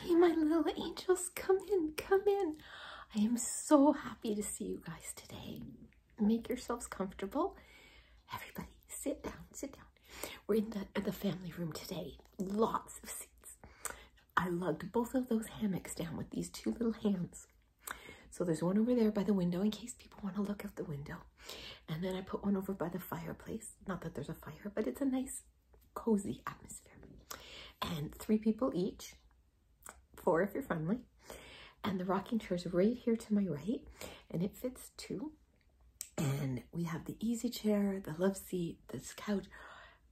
Hey, my little angels, come in, come in. I am so happy to see you guys today. Make yourselves comfortable. Everybody, sit down, sit down. We're in the, the family room today. Lots of seats. I lugged both of those hammocks down with these two little hands. So there's one over there by the window in case people want to look out the window. And then I put one over by the fireplace. Not that there's a fire, but it's a nice cozy atmosphere. And three people each, four if you're friendly. And the rocking chair is right here to my right, and it fits two. And we have the easy chair, the love seat, this couch,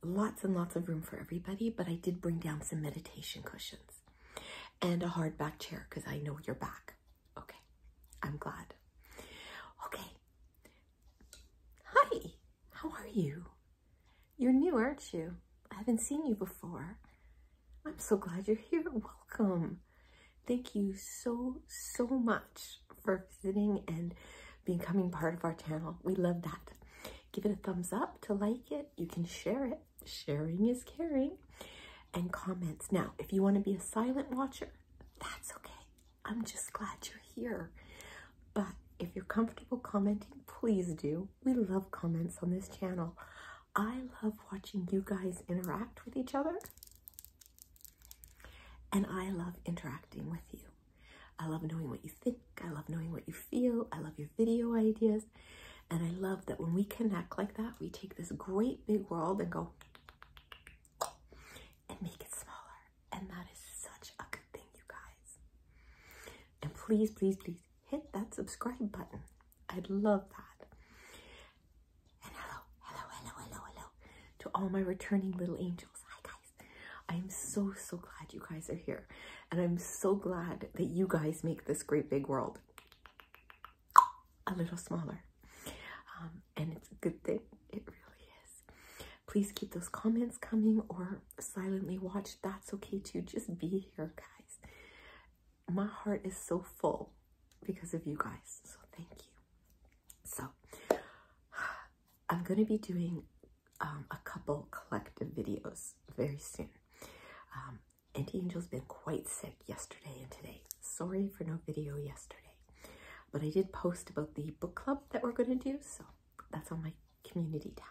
lots and lots of room for everybody, but I did bring down some meditation cushions and a hard back chair because I know your back. Okay, I'm glad. Okay, Hi, how are you? You're new, aren't you? I haven't seen you before. I'm so glad you're here. Welcome. Thank you so, so much for visiting and becoming part of our channel. We love that. Give it a thumbs up to like it. You can share it. Sharing is caring. And comments. Now, if you want to be a silent watcher, that's okay. I'm just glad you're here. But if you're comfortable commenting, please do. We love comments on this channel. I love watching you guys interact with each other. And I love interacting with you. I love knowing what you think. I love knowing what you feel. I love your video ideas. And I love that when we connect like that, we take this great big world and go and make it smaller and that is such a good thing, you guys. And please, please, please hit that subscribe button. I'd love that. And hello, hello, hello, hello, hello to all my returning little angels. Hi, guys. I'm so, so glad you guys are here. And I'm so glad that you guys make this great big world a little smaller. Um, and it's a good thing. It really is. Please keep those comments coming or silently watch. That's okay too. Just be here, guys. My heart is so full because of you guys. So thank you. So I'm gonna be doing um, a couple collective videos very soon. Um, Auntie Angel's been quite sick yesterday and today. Sorry for no video yesterday. But I did post about the book club that we're going to do, so that's on my community tab.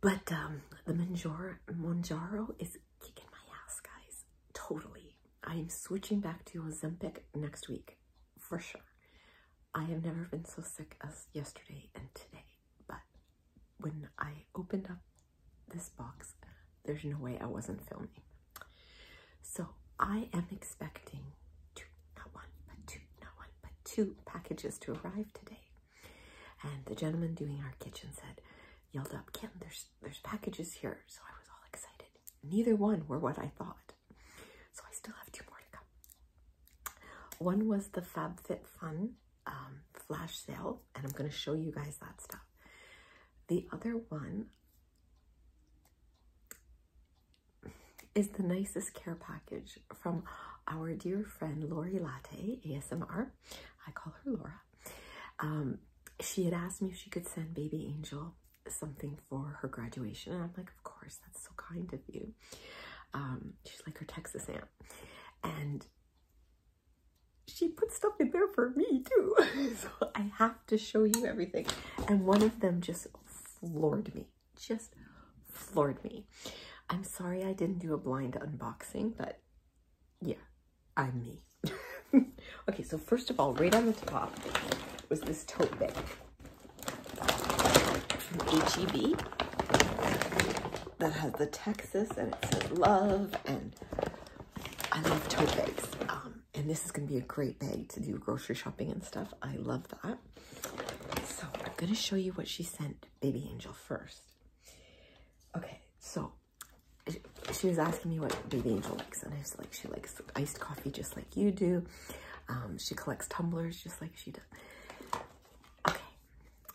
But um, the Manjaro, Monjaro is kicking my ass, guys. Totally. I am switching back to Ozempic next week, for sure. I have never been so sick as yesterday and today, but when I opened up this box, there's no way I wasn't filming. So I am expecting two, not one, but two, not one, but two packages to arrive today. And the gentleman doing our kitchen said, yelled up, Kim, there's there's packages here. So I was all excited. Neither one were what I thought. So I still have two more to come. One was the FabFitFun um, flash sale, and I'm going to show you guys that stuff. The other one is the nicest care package from our dear friend Lori Latte ASMR. I call her Laura. Um, she had asked me if she could send Baby Angel something for her graduation, and I'm like, of course, that's so kind of you. Um, she's like her Texas aunt, and she put stuff in there for me too, so I have to show you everything. And one of them just floored me, just floored me. I'm sorry I didn't do a blind unboxing, but yeah, I'm me. okay, so first of all, right on the top was this tote bag from H-E-B that has the Texas and it says love and I love tote bags. Um, and this is going to be a great bag to do grocery shopping and stuff. I love that. So I'm going to show you what she sent Baby Angel first. Okay, so she was asking me what Baby Angel likes. And I was like, she likes iced coffee just like you do. Um, she collects tumblers just like she does. Okay.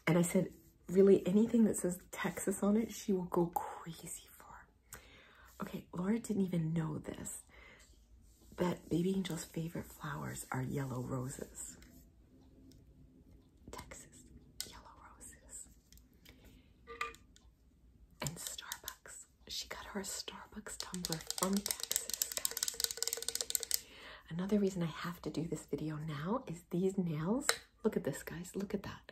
And I said, really anything that says Texas on it, she will go crazy for. Okay, Laura didn't even know this that Baby Angel's favorite flowers are yellow roses. Texas yellow roses. And Starbucks. She got her Starbucks tumbler from Texas, guys. Another reason I have to do this video now is these nails. Look at this, guys. Look at that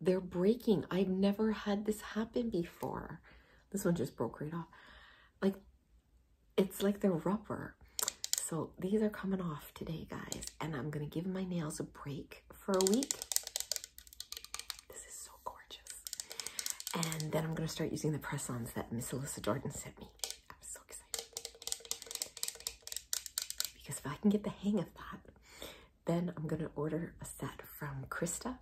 they're breaking. I've never had this happen before. This one just broke right off. Like, it's like they're rubber. So these are coming off today, guys. And I'm going to give my nails a break for a week. This is so gorgeous. And then I'm going to start using the press-ons that Miss Alyssa Jordan sent me. I'm so excited. Because if I can get the hang of that, then I'm gonna order a set from Krista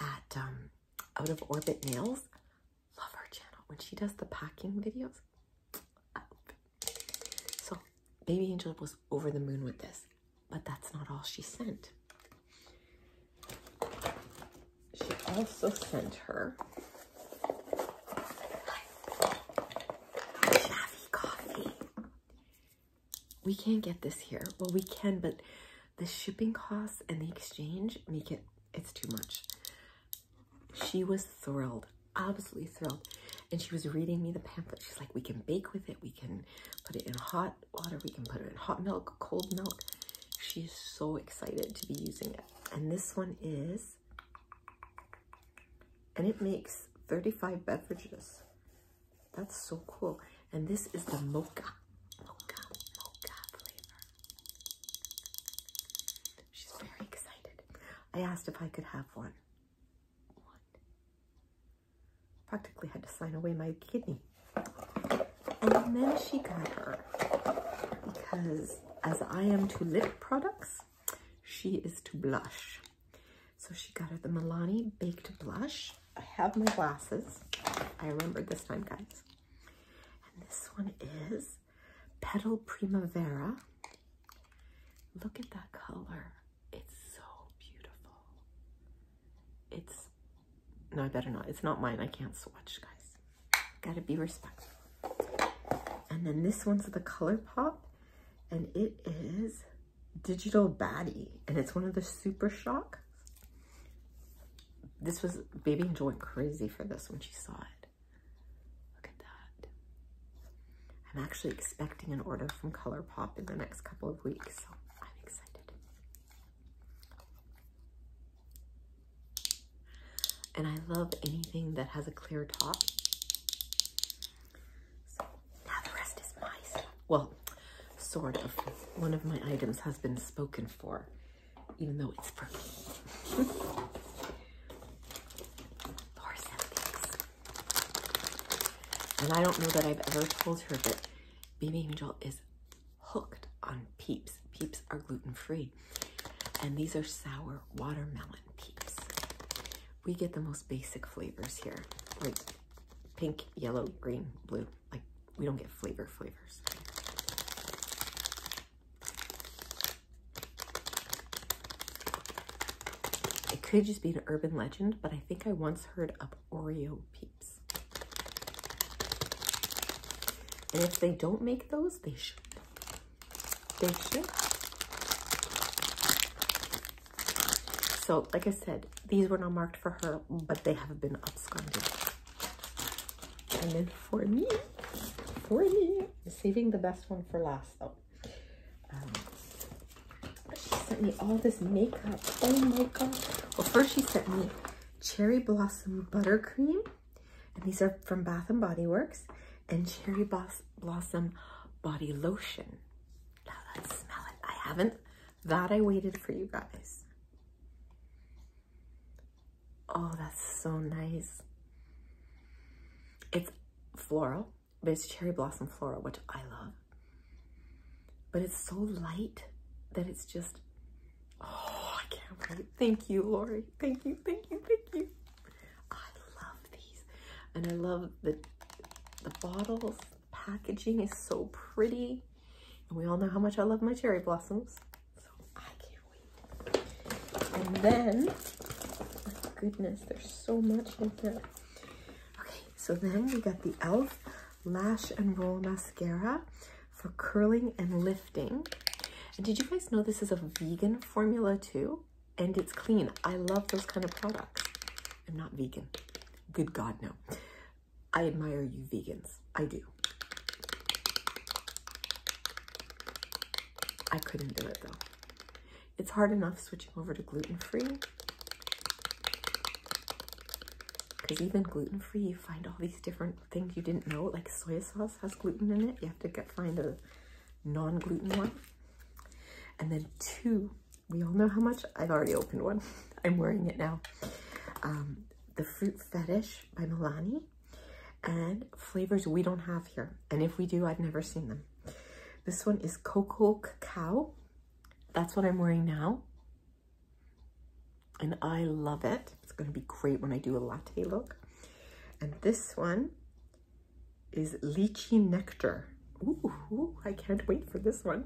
at um, Out of Orbit Nails. Love her channel when she does the packing videos. So Baby Angel was over the moon with this, but that's not all she sent. She also sent her Navi coffee we can't get this here. Well, we can, but the shipping costs and the exchange make it, it's too much. She was thrilled, absolutely thrilled. And she was reading me the pamphlet. She's like, we can bake with it. We can put it in hot water. We can put it in hot milk, cold milk. She's so excited to be using it. And this one is, and it makes 35 beverages. That's so cool. And this is the mocha, mocha, mocha flavor. She's very excited. I asked if I could have one. One. Practically had to sign away my kidney. And then she got her because as I am to lip products, she is to blush. So she got her the Milani Baked Blush. I have my glasses. I remembered this time, guys. And this one is Petal Primavera. Look at that color. It's so beautiful. It's, no, I better not. It's not mine. I can't swatch, guys. Gotta be respectful. And then this one's the ColourPop, and it is digital baddie and it's one of the super shock this was baby angel went crazy for this when she saw it look at that i'm actually expecting an order from ColourPop in the next couple of weeks so i'm excited and i love anything that has a clear top so now the rest is my Well, sort of. One of my items has been spoken for, even though it's for me. Laura And I don't know that I've ever told her that Baby Angel is hooked on peeps. Peeps are gluten-free. And these are sour watermelon peeps we get the most basic flavors here, like pink, yellow, green, blue. Like we don't get flavor flavors. It could just be an urban legend, but I think I once heard of Oreo peeps. And if they don't make those, they should. They should. So, like I said, these were not marked for her, but they have been absconded. And then for me, for me, i saving the best one for last though. Um, she sent me all this makeup. Oh my god. Well, first she sent me cherry blossom buttercream. And these are from Bath and Body Works. And cherry blossom body lotion let's smell it. I haven't. That I waited for you guys. Oh, that's so nice. It's floral, but it's cherry blossom floral, which I love. But it's so light that it's just, oh, I can't wait. Thank you, Lori. Thank you, thank you, thank you. I love these. And I love the, the bottles packaging is so pretty. And we all know how much I love my cherry blossoms. So I can't wait. And then, goodness, there's so much in here. Okay, so then we got the e.l.f. Lash and Roll Mascara for curling and lifting. And did you guys know this is a vegan formula too? And it's clean. I love those kind of products. I'm not vegan. Good God, no. I admire you vegans. I do. I couldn't do it though. It's hard enough switching over to gluten-free. Because even gluten-free, you find all these different things you didn't know, like soy sauce has gluten in it. You have to get find a non-gluten one. And then two, we all know how much. I've already opened one. I'm wearing it now. Um, the Fruit Fetish by Milani and flavors we don't have here. And if we do, I've never seen them. This one is Cocoa Cacao. That's what I'm wearing now. And I love it. It's going to be great when I do a latte look. And this one is Lychee Nectar. Ooh, I can't wait for this one.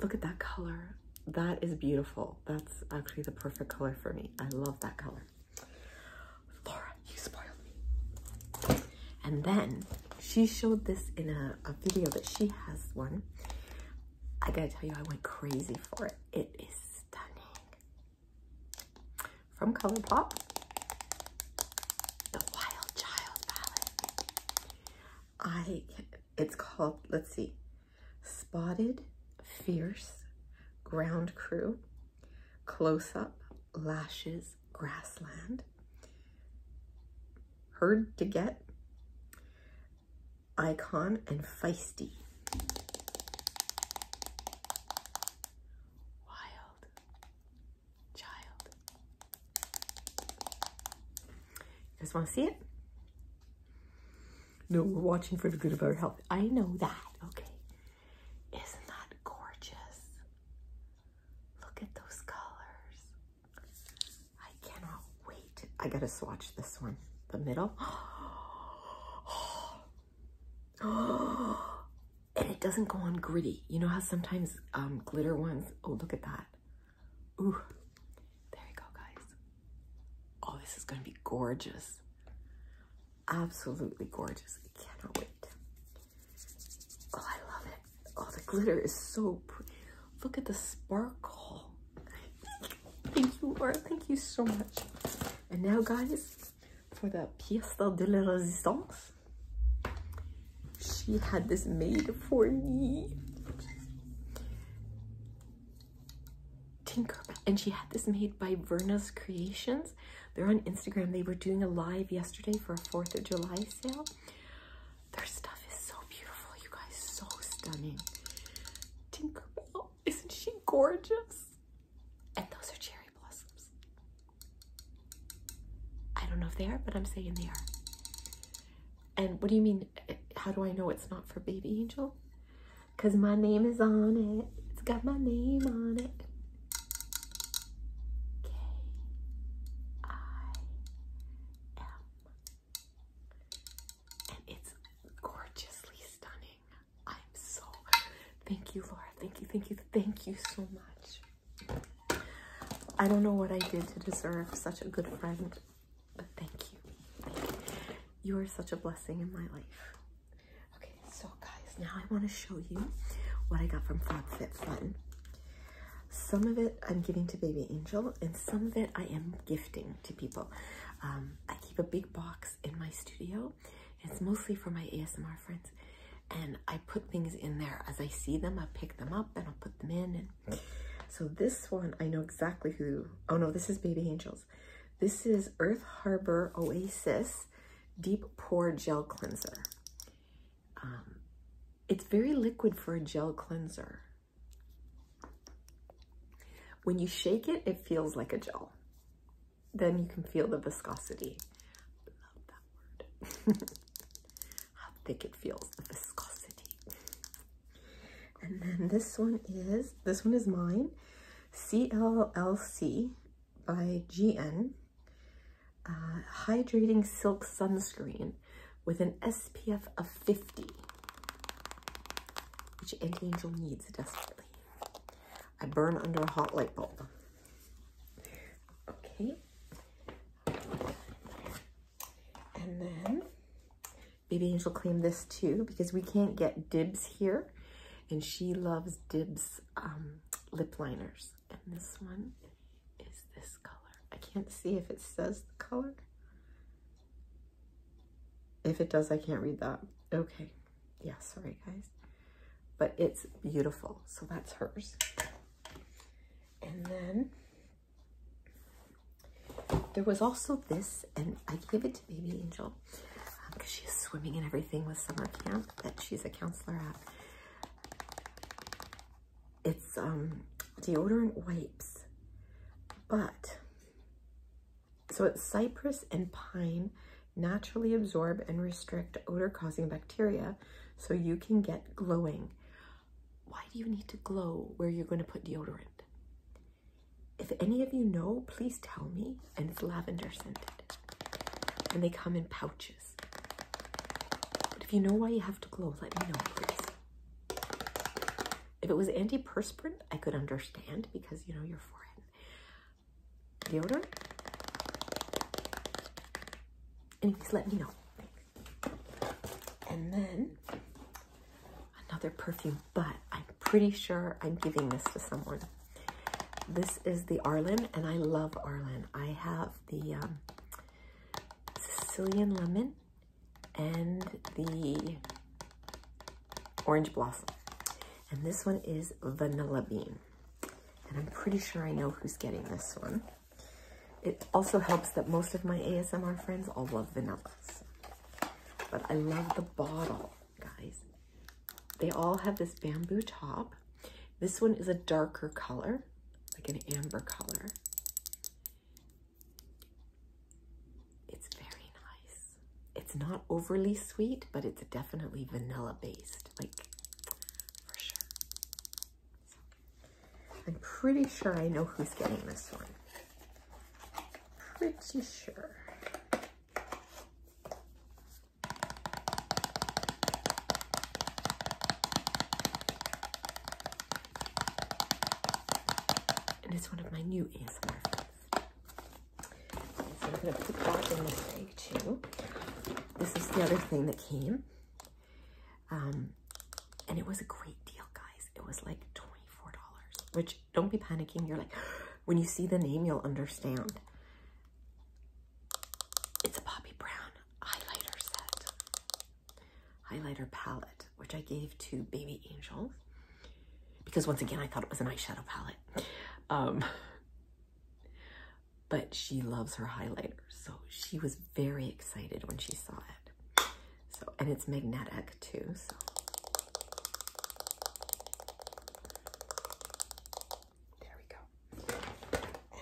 Look at that color. That is beautiful. That's actually the perfect color for me. I love that color. Laura, you spoiled me. And then she showed this in a, a video that she has one. I gotta tell you, I went crazy for it. It is stunning. From ColourPop. The Wild Child palette. I, it's called, let's see, Spotted, Fierce, Ground Crew, Close Up, Lashes, Grassland, Herd to Get, Icon, and Feisty. Wild child. You guys want to see it? No, we're watching for the good of our health. I know that, okay. Isn't that gorgeous? Look at those colors. I cannot wait. I gotta swatch this one. The middle and it doesn't go on gritty. You know how sometimes um, glitter ones, oh, look at that. Ooh, there you go, guys. Oh, this is gonna be gorgeous. Absolutely gorgeous. I cannot wait. Oh, I love it. Oh, the glitter is so pretty. Look at the sparkle. Thank you, Laura. Thank you so much. And now, guys, for the pièce de la résistance. She had this made for me. Tinkerbell. And she had this made by Verna's Creations. They're on Instagram. They were doing a live yesterday for a 4th of July sale. Their stuff is so beautiful, you guys. So stunning. Tinkerbell. Isn't she gorgeous? And those are cherry I don't know if they are, but I'm saying they are. And what do you mean? How do I know it's not for Baby Angel? Because my name is on it. It's got my name on it. K I M. And it's gorgeously stunning. I'm so. Thank you, Laura. Thank you, thank you, thank you so much. I don't know what I did to deserve such a good friend, but thank you. you. are such a blessing in my life. Okay, so guys, now I want to show you what I got from Frog Fit Fun. Some of it I'm giving to Baby Angel, and some of it I am gifting to people. Um, I keep a big box in my studio. It's mostly for my ASMR friends and I put things in there as I see them. I pick them up and I'll put them in. so this one, I know exactly who. Oh no, this is Baby Angels. This is Earth Harbor Oasis Deep Pore Gel Cleanser. Um, it's very liquid for a gel cleanser. When you shake it, it feels like a gel. Then you can feel the viscosity love that word. How thick it feels, the viscosity. And then this one is, this one is mine, CLLC by GN, uh, Hydrating Silk Sunscreen with an SPF of 50, which Anti Angel needs desperately. I burn under a hot light bulb. Okay. And then Baby Angel claimed this too because we can't get dibs here. And she loves dibs um, lip liners. And this one is this color. I can't see if it says the color. If it does, I can't read that. Okay. Yeah, sorry guys. But it's beautiful. So that's hers. And then there was also this, and I gave it to Baby Angel because um, she's swimming and everything with summer camp that she's a counselor at. It's um, deodorant wipes, but so it's cypress and pine naturally absorb and restrict odor-causing bacteria so you can get glowing. Why do you need to glow where you're going to put deodorant? If any of you know, please tell me. And it's lavender scented. And they come in pouches. But if you know why you have to glow, let me know, please. If it was antiperspirant, I could understand because, you know, your forehead deodorant. And if he's let me know. And then another perfume, but I'm pretty sure I'm giving this to someone. This is the Arlen, and I love Arlen. I have the um, Sicilian Lemon and the Orange Blossom. And this one is Vanilla Bean. And I'm pretty sure I know who's getting this one. It also helps that most of my ASMR friends all love vanillas. But I love the bottle, guys. They all have this bamboo top. This one is a darker color, like an amber color. It's very nice. It's not overly sweet, but it's definitely vanilla based like for sure. I'm pretty sure I know who's getting this one. Pretty sure. And it's one of my new ASMR I'm going to put that in the way take This is the other thing that came. Um, and it was a great deal, guys. It was like $24, which don't be panicking. You're like, when you see the name, you'll understand. It's a Bobbi Brown highlighter set, highlighter palette, which I gave to Baby Angel because once again, I thought it was an eyeshadow palette. Um, but she loves her highlighter. So she was very excited when she saw it. So, and it's magnetic too, so. There we go.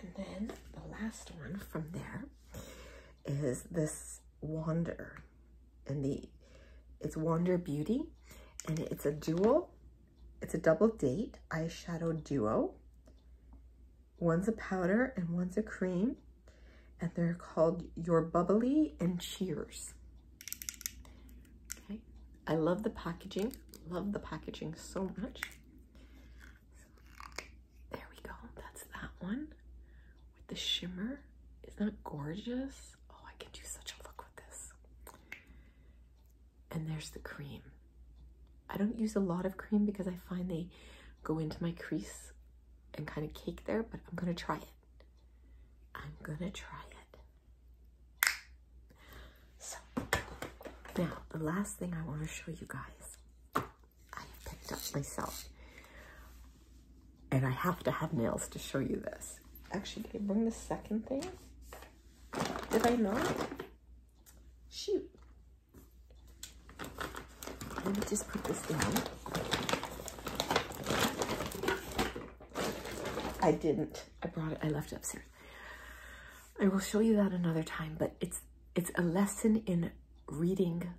And then the last one from there is this Wander. And the, it's Wander Beauty. And it's a dual it's a double date eyeshadow duo. One's a powder and one's a cream. And they're called Your Bubbly and Cheers. Okay. I love the packaging. Love the packaging so much. There we go. That's that one with the shimmer. Isn't that gorgeous? Oh, I can do such a look with this and there's the cream. I don't use a lot of cream because I find they go into my crease and kind of cake there, but I'm gonna try it. I'm gonna try it. So, now the last thing I wanna show you guys, I picked up myself. And I have to have nails to show you this. Actually, did I bring the second thing? Did I not? Shoot. Let me just put this down. I didn't. I brought it. I left it upstairs. I will show you that another time, but it's it's a lesson in reading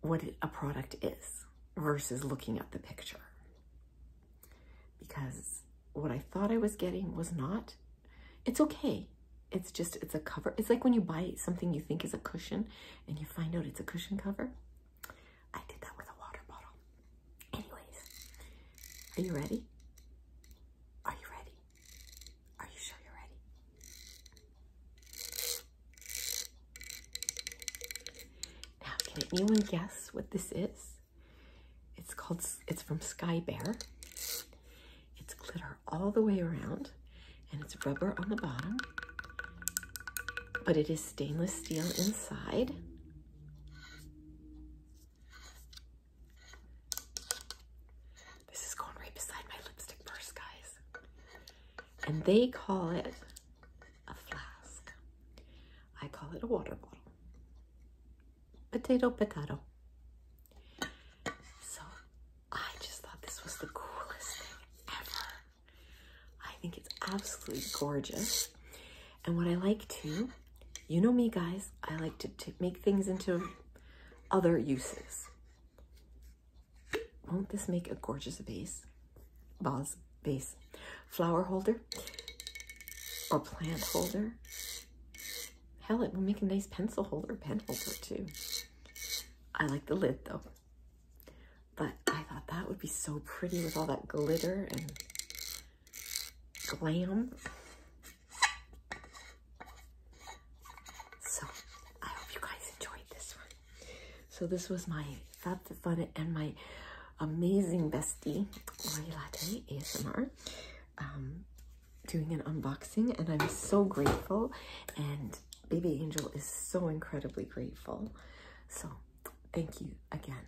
what a product is versus looking at the picture because what I thought I was getting was not. It's okay. It's just, it's a cover. It's like when you buy something you think is a cushion and you find out it's a cushion cover. I did that with a water bottle. Anyways, are you ready? Are you ready? Are you sure you're ready? Now, can anyone guess what this is? It's called, it's from Sky Bear. It's glitter all the way around and it's rubber on the bottom, but it is stainless steel inside. This is going right beside my lipstick purse, guys. And they call it a flask. I call it a water bottle potato, potato. So I just thought this was the coolest thing ever. I think it's absolutely gorgeous. And what I like too, you know me guys, I like to, to make things into other uses. Won't this make a gorgeous vase? Vase, vase, flower holder or plant holder Hell, it will make a nice pencil holder, pen holder too. I like the lid though. But I thought that would be so pretty with all that glitter and glam. So I hope you guys enjoyed this one. So this was my Fab Fun and my amazing bestie, Lori Latte ASMR. Um, doing an unboxing and I'm so grateful and Baby Angel is so incredibly grateful. So thank you again.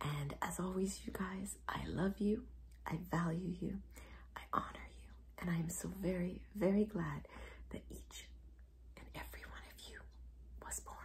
And as always, you guys, I love you. I value you. I honor you. And I am so very, very glad that each and every one of you was born.